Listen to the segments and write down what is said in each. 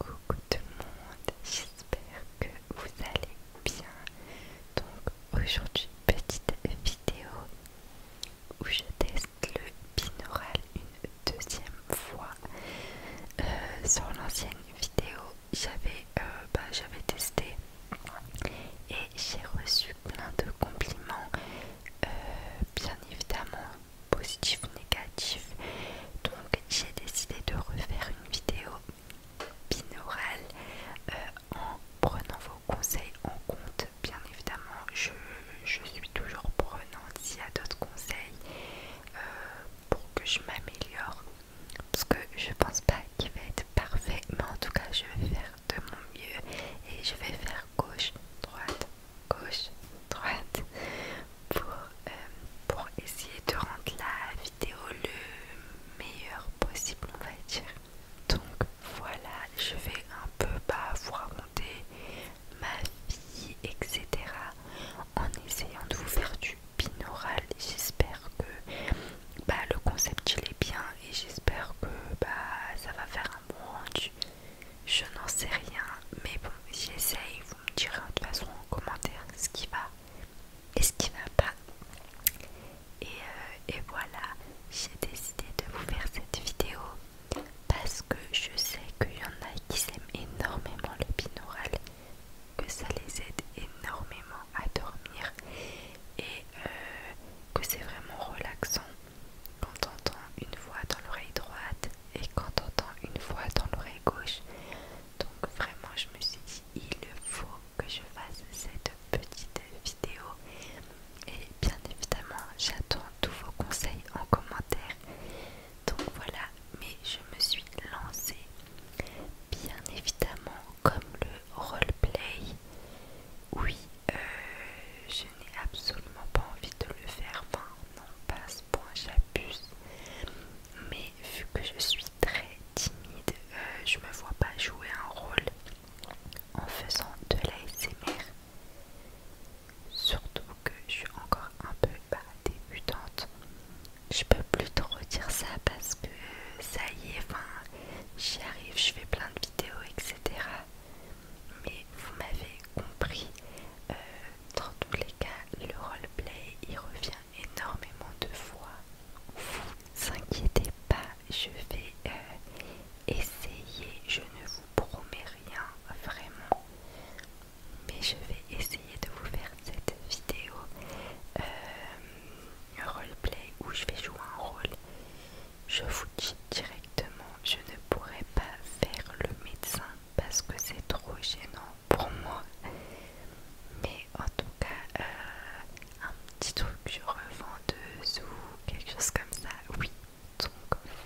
Coucou tout le monde, j'espère que vous allez bien. Donc aujourd'hui, petite vidéo où je teste le binaural une deuxième fois. Euh, sur l'ancienne vidéo, euh, bah, j'avais testé et j'ai reçu plein de compliments. Euh, bien évidemment, positif, négatif. Donc j'ai décidé de refaire une vidéo binaurale euh, en prenant vos conseils en compte. Bien évidemment, je, suis toujours prenante s'il y a d'autres conseils euh, pour que je m'améliore. Parce que je pense pas qu'il va être parfait, mais en tout cas, je vais faire de mon mieux et je vais faire gauche, droite, gauche, droite pour, euh, pour essayer de rendre la vidéo le meilleur possible on va dire. Donc voilà, je vais un peu bah, vous raconter ma vie, etc. En essayant de vous faire du binaural, j'espère que bah, le concept il est bien et j'espère que bah, ça va faire un bon rendu. Je n'en sais rien, mais bon, j'essaye. Vous me direz de toute façon en commentaire ce qui va et ce qui ne va pas. Euh, et, voilà, j'ai décidé de vous faire cette vidéo parce que je sais qu'il y en a qui aiment énormément le binaural, que ça les aide énormément à dormir et euh, que c'est vraiment relaxant. Quand t'entends une voix dans l'oreille droite et quand t'entends une voix dans l'oreille gauche. Donc vraiment je me suis dit il faut que je fasse cette petite vidéo. Et bien évidemment j'attends tous vos conseils en commentaire. Donc voilà, mais je me suis lancée. Bien évidemment comme le roleplay. Oui, euh, je n'ai absolument pas envie de le faire. Enfin, non pas ce point j'abuse mais vu que je suis très timide euh, je me vois pas jouer un rôle en faisant de l'ASMR surtout que je suis encore un peu bah, débutante je peux plus te dire ça parce que euh, ça y est enfin j'y arrive je fais plein de vidéos etc mais vous m'avez compris, euh, dans tous les cas, le roleplay il revient énormément de fois. Vous inquiétez pas, je vais euh, essayer, je ne vous promets rien vraiment, mais je vais essayer de vous faire cette vidéo euh, roleplay où je vais jouer un rôle. Je vous dirai je ne pourrais pas faire le médecin parce que c'est trop gênant pour moi. Mais en tout cas, euh, un petit truc je revendeuse ou quelque chose comme ça, oui. Donc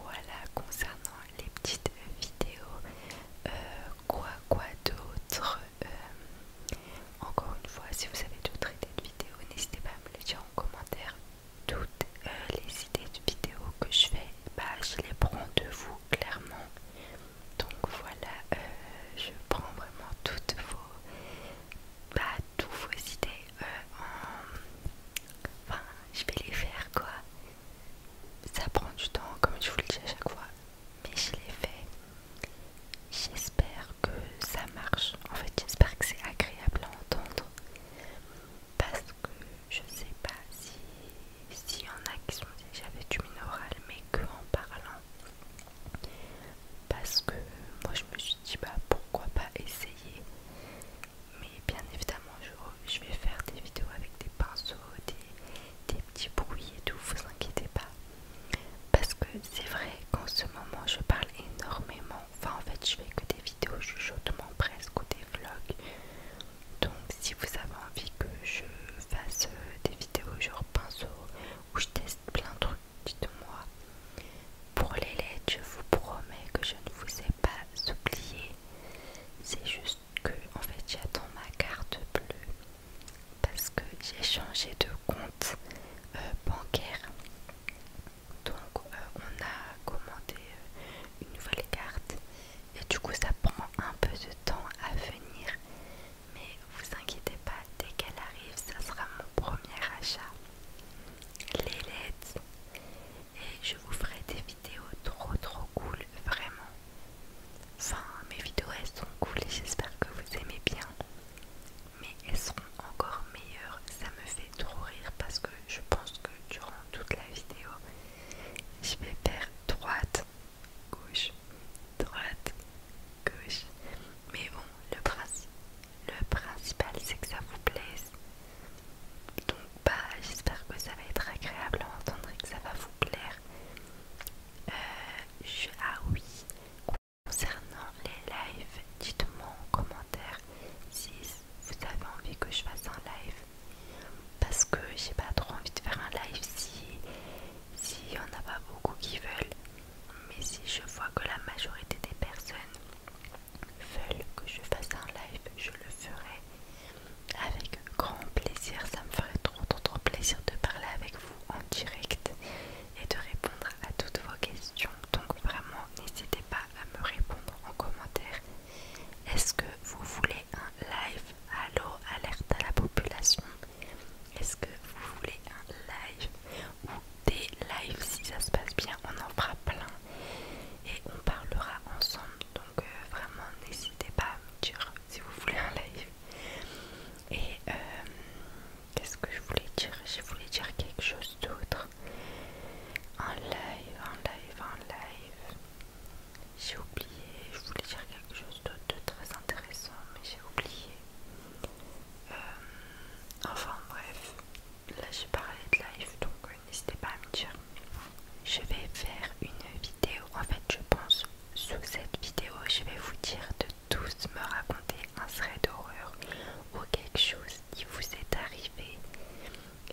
voilà concernant les petites vidéos. Euh, quoi quoi d'autre euh, Encore une fois, si vous avez d'autres idées de vidéos, n'hésitez pas à me les dire en commentaire toutes euh, les idées de vidéos que je fais, bah, je les prends de vous clairement. Donc voilà, euh, je prends vraiment toutes vos, bah, toutes vos idées. Euh, en... Enfin, je vais les faire quoi. Ça prend du temps, comme je vous le dis à chaque fois, mais je les fais. J'espère que ça marche. En fait, j'espère que c'est agréable à entendre parce que je sais pas si s'il y en a qui sont dit j'avais du minéral mais que en parlant parce que moi je me suis dit bah pourquoi pas essayer mais bien évidemment je, vais faire des vidéos avec des pinceaux des, des petits bruits et tout vous inquiétez pas parce que c'est vrai qu'en ce moment je parle énormément Enfin, en fait, je fais que des vidéos mon presque ou des vlogs. Donc, si vous avez envie que je fasse euh, des vidéos genre pinceau où je teste plein de trucs, dites-moi. Pour les lettres, je vous promets que je ne vous ai pas oublié. C'est juste que, en fait, j'attends ma carte bleue parce que j'ai changé de compte euh, bancaire donc euh, on a commandé euh, une nouvelle carte et du coup ça prend un peu de temps à venir mais vous inquiétez pas dès qu'elle arrive ça sera mon premier achat les lettres et je vous ferai des vidéos trop trop cool vraiment enfin mes vidéos elles sont cool et j'espère que vous aimez bien mais elles seront encore meilleures. Ça me fait trop rire parce que je pense que durant toute la vidéo, je vais faire droite, gauche, droite, gauche. Mais bon, le, principal c'est que ça vous plaise. Donc bah j'espère que ça va être agréable à entendre et que ça va vous plaire. Euh, ah oui, Concernant les lives, dites-moi en commentaire si vous avez envie que je fasse un live. Parce que j'ai pas trop envie de faire un live si s'il y en a pas beaucoup qui veulent. Mais si je vois que la majorité des personnes veulent que je fasse un live, je le ferai avec grand plaisir. Ça me ferait trop trop trop plaisir de parler avec vous en direct et de répondre à toutes vos questions. Donc vraiment, n'hésitez pas à me répondre en commentaire. Est-ce que vous voulez un live Allo alerte à la population Est-ce que vous voulez un live ou des lives si ça se passe bien On en fera plein et on parlera ensemble. Donc euh, vraiment, n'hésitez pas à me dire si vous voulez un live. Et euh, Qu'est-ce que je voulais dire Je voulais dire quelque chose d'autre. En live, en live, en live. J'ai oublié. Je voulais dire quelque chose d'autre de très intéressant, mais j'ai oublié. Euh, enfin bref, là j'ai parlé de live, donc euh, n'hésitez pas à me dire. Je vais faire une vidéo. En fait, je pense sous cette vidéo, je vais vous dire de tous me raconter un serait d'horreur ou quelque chose qui vous est arrivé.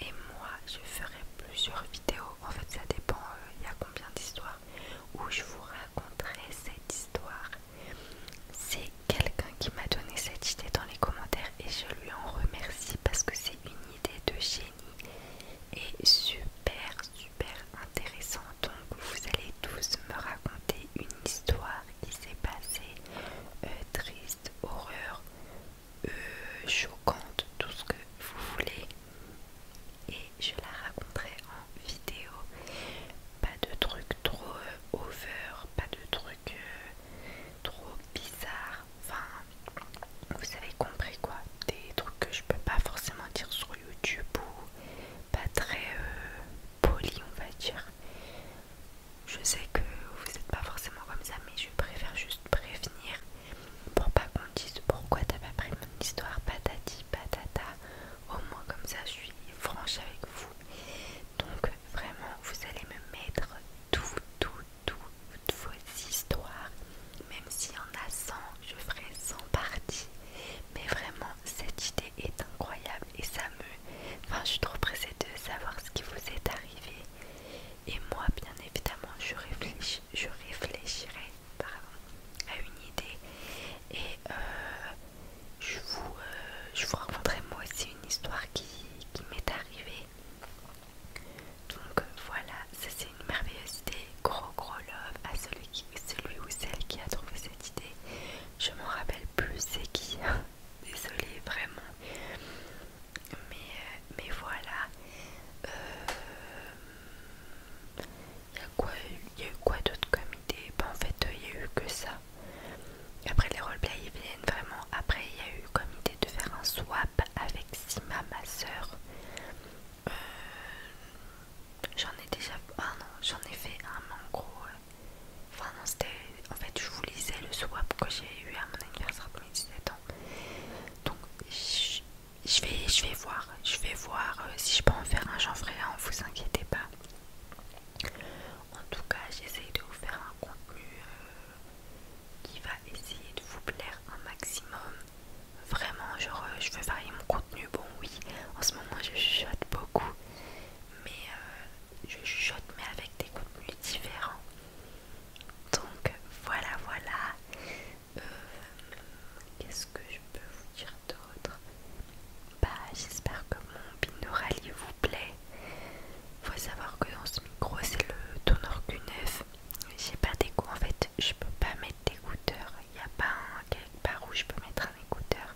Et moi, je ferai plusieurs vidéos. En fait, ça dépend, euh, il y a combien d'histoires où je vous raconterai cette histoire. C'est quelqu'un qui m'a donné cette idée dans les commentaires et je lui en remercie parce que c'est une idée de génie et super super intéressante donc vous allez tous me raconter une histoire qui s'est passée euh, triste, horreur, euh, choquante, tout ce que vous voulez. Et je la raconterai en vidéo. Pas de trucs trop euh, over, pas de trucs trop bizarre. Enfin, vous avez compris quoi. Des trucs que je peux pas forcément dire sur YouTube ou pas très poli, on va dire. Je sais que vous n'êtes pas forcément comme ça, mais je préfère juste prévenir pour pas qu'on dise pourquoi t'as pas pris mon histoire, patati patata. Au moins, comme ça, je suis franche avec vous. Donc, vraiment, vous allez me mettre tout, tout, tout, toutes vos histoires, même s'il y en a 100, je ferai 100 parties. Mais vraiment, cette idée est incroyable et ça me... Enfin, je suis trop pressée de savoir ce qui vous est arrivé. Et moi, bien évidemment, je, je réfléchirai à une idée. Et euh, je, vous, euh, je vous raconterai moi aussi une histoire qui, qui m'est arrivée. Donc euh, voilà, ça c'est une merveilleuse idée. Gros gros love à celui c'est celui ou celle qui a trouvé cette idée. Je m'en rappelle plus c'est qui. Hein. Désolée vraiment. Mais, euh, voilà. il euh, y, y a eu quoi d'autre comme idée bah, En fait, il y a eu que ça. Après les roleplays, viennent vraiment. Après, il y a eu comme idée de faire un swap avec Sima, ma soeur. Euh, J'en ai déjà... Ah non, j'en ai fait un mangro en Enfin non, c'était... En fait, je vous lisais le swap que j'ai eu à mon anniversaire de mes 17 ans. Donc, je, vais, je vais voir. Je vais voir euh, si je peux en faire un. J'en ferai un, vous inquiétez pas. En tout cas, j'essaye de vous faire un contenu euh, qui va essayer de vous plaire un maximum. Vraiment, genre, euh, je veux varier mon contenu. Bon, oui, en ce moment, je chuchote beaucoup, mais euh, je chuchote, mais avec des contenus différents. Donc, voilà, voilà. Euh, qu'est-ce que je peux vous dire d'autre Bah, j'espère que mon binoralie vous plaît. Faut savoir que dans ce micro, c'est le tonneur Q9. J'ai pas d'écho en fait, je peux pas mettre d'écouteur il n'y a pas un, quelque part où je peux mettre un écouteur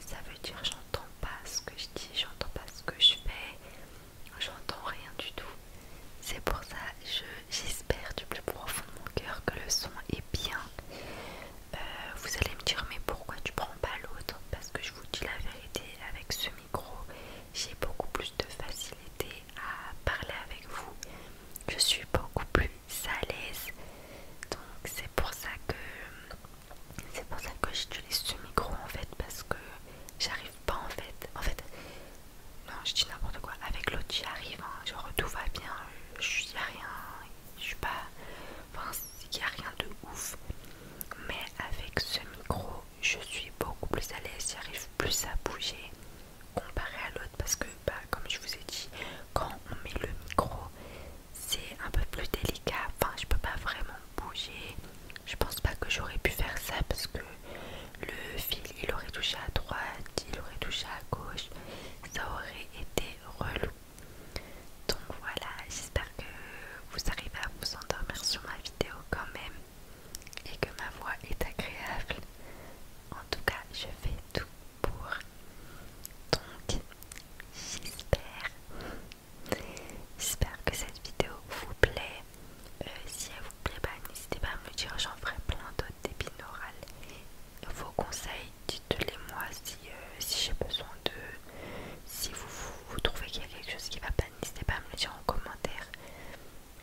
ça veut dire j'entends pas ce que je dis j'entends pas ce que je fais j'entends rien du tout c'est pour ça j'espère du plus profond de mon cœur que le son est bien euh, vous allez me dire mais pourquoi tu prends pas l'autre parce que je vous dis la vérité avec ce micro j'ai beaucoup plus de facilité à parler avec vous je suis beaucoup plus l'aise Donc c'est pour ça que c'est pour ça que j'utilise ce micro en fait parce que j'arrive pas en fait. En fait, non je dis n'importe quoi. Avec l'autre j'y arrive, hein. genre tout va bien, je suis rien, je suis pas. Enfin il n'y a rien de ouf. Mais avec ce micro je suis beaucoup plus à l'aise, j'arrive plus à bouger comparé à l'autre parce que bah, comme je vous ai dit quand on met le micro c'est un peu plus délicat enfin je peux pas vraiment bouger je pense pas que j'aurais pu faire ça parce que le fil il aurait touché à droite il aurait touché à gauche ça aurait été relou donc voilà j'espère que vous arrivez à vous endormir sur ma vidéo quand même et que ma voix est agréable. En tout cas, je fais tout pour. Donc, j'espère. J'espère que cette vidéo vous plaît. Euh, si elle vous plaît, pas bah, n'hésitez pas à me dire, j'en ferai plein d'autres d'épines orales. Vos conseils, dites-les moi si, euh, si j'ai besoin de... Si vous trouvez qu'il y a quelque chose qui va pas, n'hésitez pas à me le dire en commentaire.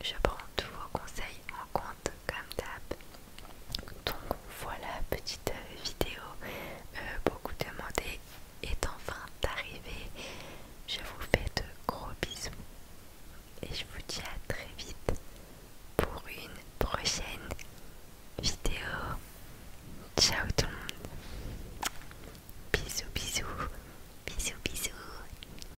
Je prends tous vos conseils en compte comme d'hab. Donc voilà, petite euh, vidéo euh, beaucoup demandée est enfin arrivée. Je vous fais de gros bisous et je vous dis à très vite pour une prochaine vidéo. Ciao tout le monde. Bisous bisous. Bisous bisous.